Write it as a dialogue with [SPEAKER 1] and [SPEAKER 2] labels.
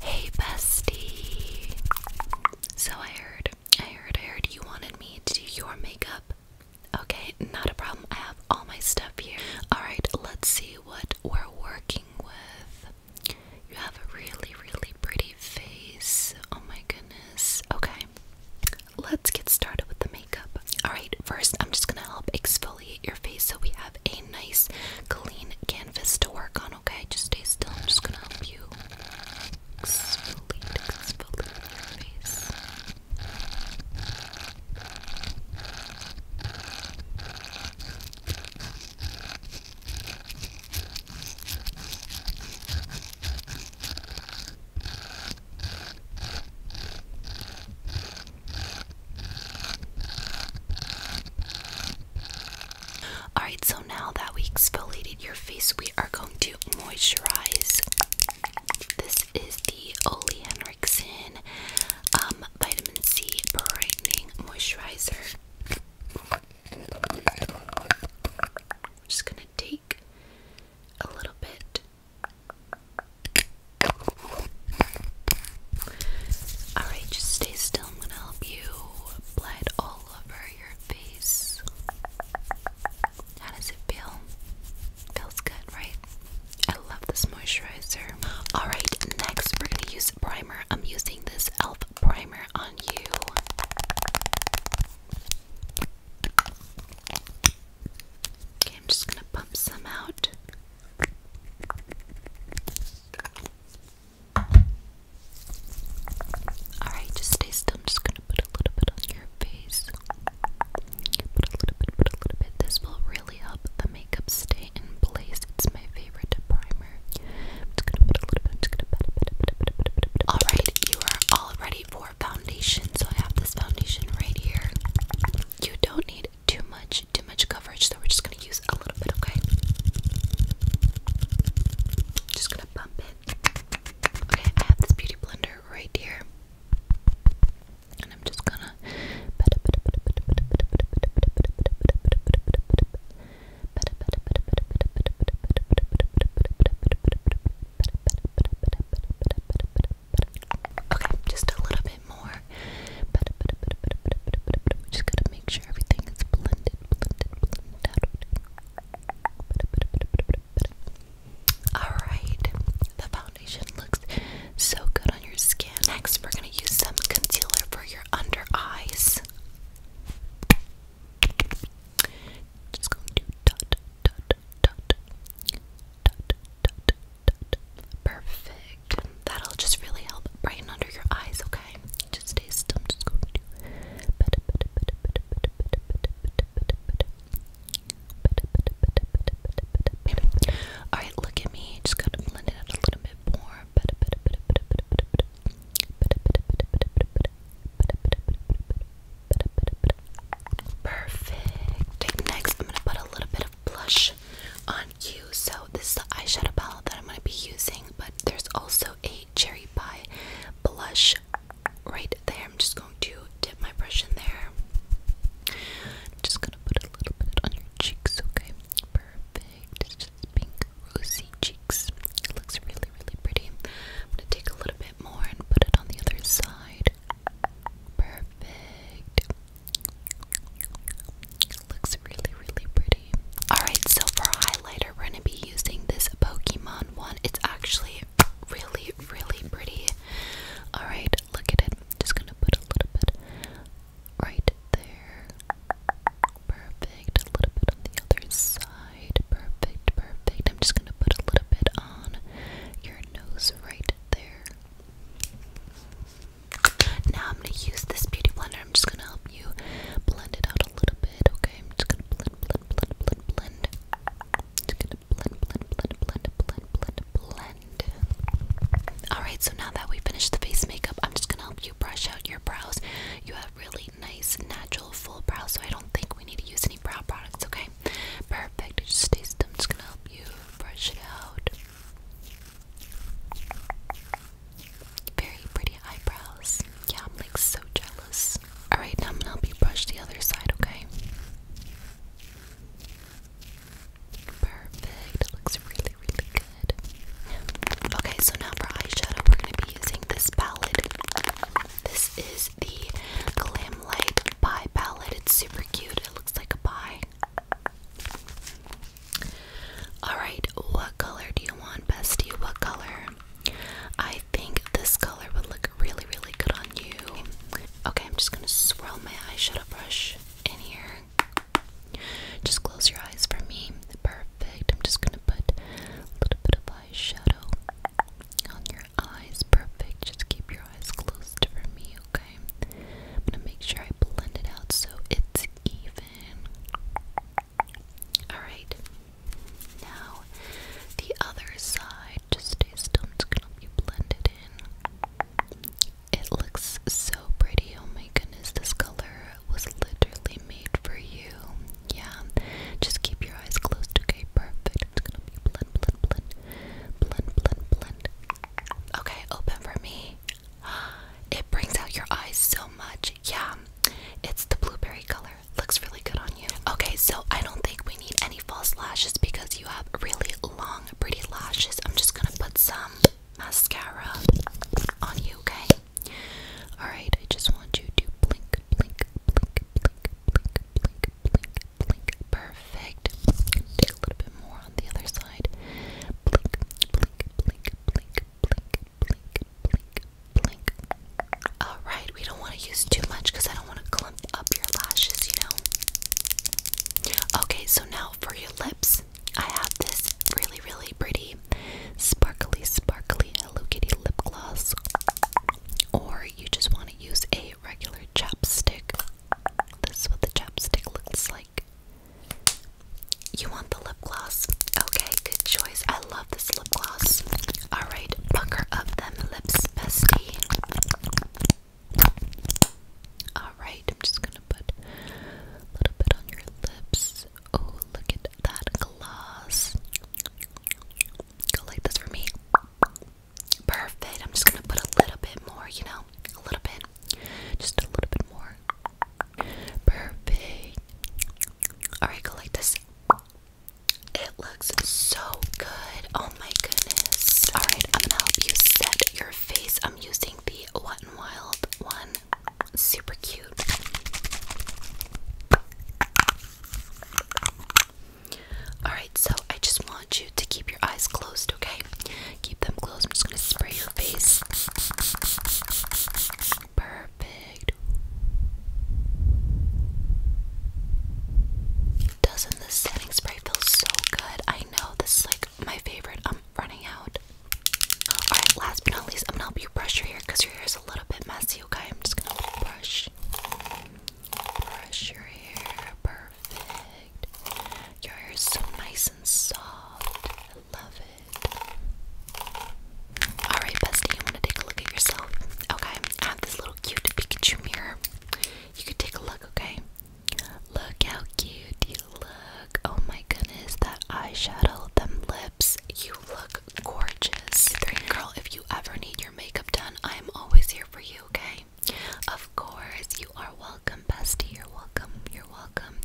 [SPEAKER 1] Hey bestie. So I heard, I heard, I heard you wanted me to do your makeup. Okay, not a problem. I have all my stuff here. Alright, let's see what we're working with. You have a really, really pretty face. Oh my goodness. Okay, let's get started with the makeup. Alright, first I'm just gonna help exfoliate your face so we have a nice clean canvas to work on, okay? Just stay still. I'm just gonna help you exfoliate, exfoliate your face. Alright, so now that we exfoliated your face, we are going to moisturize. This is the Olay Henriksen um, Vitamin C Brightening Moisturizer. just going to take a little bit Alright, just stay still. I'm gonna help you apply it all over your face. How does it feel? Feels good, right? I love this moisturizer. Alright, next we're gonna use primer. I'm using this e.l.f. primer on you. Okay, I'm just gonna pump some out. Alright, just stay still. I'm just gonna put a little bit on your face. Put a little bit, put a little bit. This will really help the makeup stay in place. It's my favorite primer. i gonna put a little bit. i gonna put a bit. Alright, you are all ready foundation. So I have this foundation right here. You don't need too much, too much coverage, so we're just gonna use a little bit, okay? Just gonna bump it. Okay, I have this beauty blender right here. And I'm just gonna Okay, just a little bit more. We just gotta make sure everything is blended, Alright, the foundation looks so good on your skin. Next, we're gonna use some concealer for your under eyes. Just going to dot, dot, Perfect. That'll just really help brighten under your eyes, okay? Just stay I'm just going to. Alright, look at me. Just gotta blend it out a little bit more. Perfect. Perfect. Next, I'm gonna put a little bit of blush on you. So this is the eyeshadow palette that I'm gonna be using, but there's also a cherry pie blush right there. I'm just going to dip my brush in there. just gonna put a little bit on your cheeks, okay? Perfect. It's just pink rosy cheeks. It looks really, really pretty. I'm gonna take a little bit more and put it on the other side. Perfect. Looks really, really pretty. Alright, so for highlighter, we're gonna be using this Pokemon one. It's actually really, really pretty. Alright, look at it. Just gonna put a little bit right there. Perfect. A little bit on the other side. Perfect, perfect. I'm just gonna put a little bit on your nose right there. Now I'm going to use this beauty blender. I'm just going to help you blend it out a little bit, okay? I'm just going to blend, blend, blend, blend, blend. Just going to blend, blend, blend, blend, blend, blend, blend. Alright, so now that we finished the face makeup, I'm just going to help you brush out your brows. You have really nice, natural, full brows, so I don't think we need to use any brow products, okay? Okay, perfect. Just taste them. Just gonna help you brush it out. Very pretty eyebrows. Yeah, I'm like so jealous. Alright, now I'm gonna help you brush the other side, okay? Perfect. It looks really, really good. Okay, so now for eyeshadow, we're gonna be using this palette. This is the Glam Light Pie palette. It's super cute. It looks like a pie. Alright, what color do you want, bestie? What color? I think this color would look really, really good on you. Okay, I'm just gonna swirl my eyeshadow brush in here. Just close your eyes for me. Perfect. I'm just gonna put a little bit of eyeshadow on your eyes. Perfect. Just keep your eyes closed for me, okay? I'm gonna make sure I blend it out so it's even. Alright. Now, the other side, just stay still, it's gonna be blended in. It looks so pretty. Oh my goodness, this color was literally made for you. Yeah, just keep your eyes closed, okay? Perfect and it's gonna be blend, blend, blend, blend, blend, blend. Okay, open for me. It brings out your eyes so much. Yeah, it's the blueberry color. Looks really good on you. Okay, so I don't think we need any false lashes because you have really long, pretty lashes. I'm just gonna put some mascara on you, okay? Alright, I just want you to blink, blink, blink, blink, blink, blink, Perfect. a little bit more on the other side. Alright, we don't want to use too much because I don't want to clump up your lashes, you know? Okay, so now for your lips, I have this really, really pretty sparkly, sparkly Hello Kitty lip gloss. Or you just want to use a regular chapstick. This is what the chapstick looks like. You want the lip gloss? Okay, good choice. I love this lip gloss. Alright, pucker up them lips, bestie. Alright, I'm just gonna put a little bit on your lips. Oh, look at that gloss. Go like this for me. Perfect. I'm just gonna put a little bit more, you know? A little bit. Just a little bit more. Perfect. Alright, go like this. It looks so good. Oh my goodness. Alright, I'm gonna help you set your face. I'm using the Wet n Wild one. Super cute. Alright, so I just want you to keep your eyes closed, okay? Keep them closed. I'm just gonna spray your face. Perfect. Doesn't this setting spray feel so good? I know this is like my favorite. I'm running out. Alright, last but not least, I'm gonna help you brush your hair because your hair is a little bit messy, okay? I'm just gonna brush. Brush your hair, perfect. Your hair is so nice and soft. I love it. Alright, bestie, you want to take a look at yourself? Okay, I have this little cute Pikachu mirror. You can take a look, okay? Look how cute you look. Oh my goodness, that eyeshadow, them lips. You look gorgeous. Girl, if you ever need your makeup done, I'm always here for you, okay? Of course, you are welcome, bestie. You're welcome. You're welcome.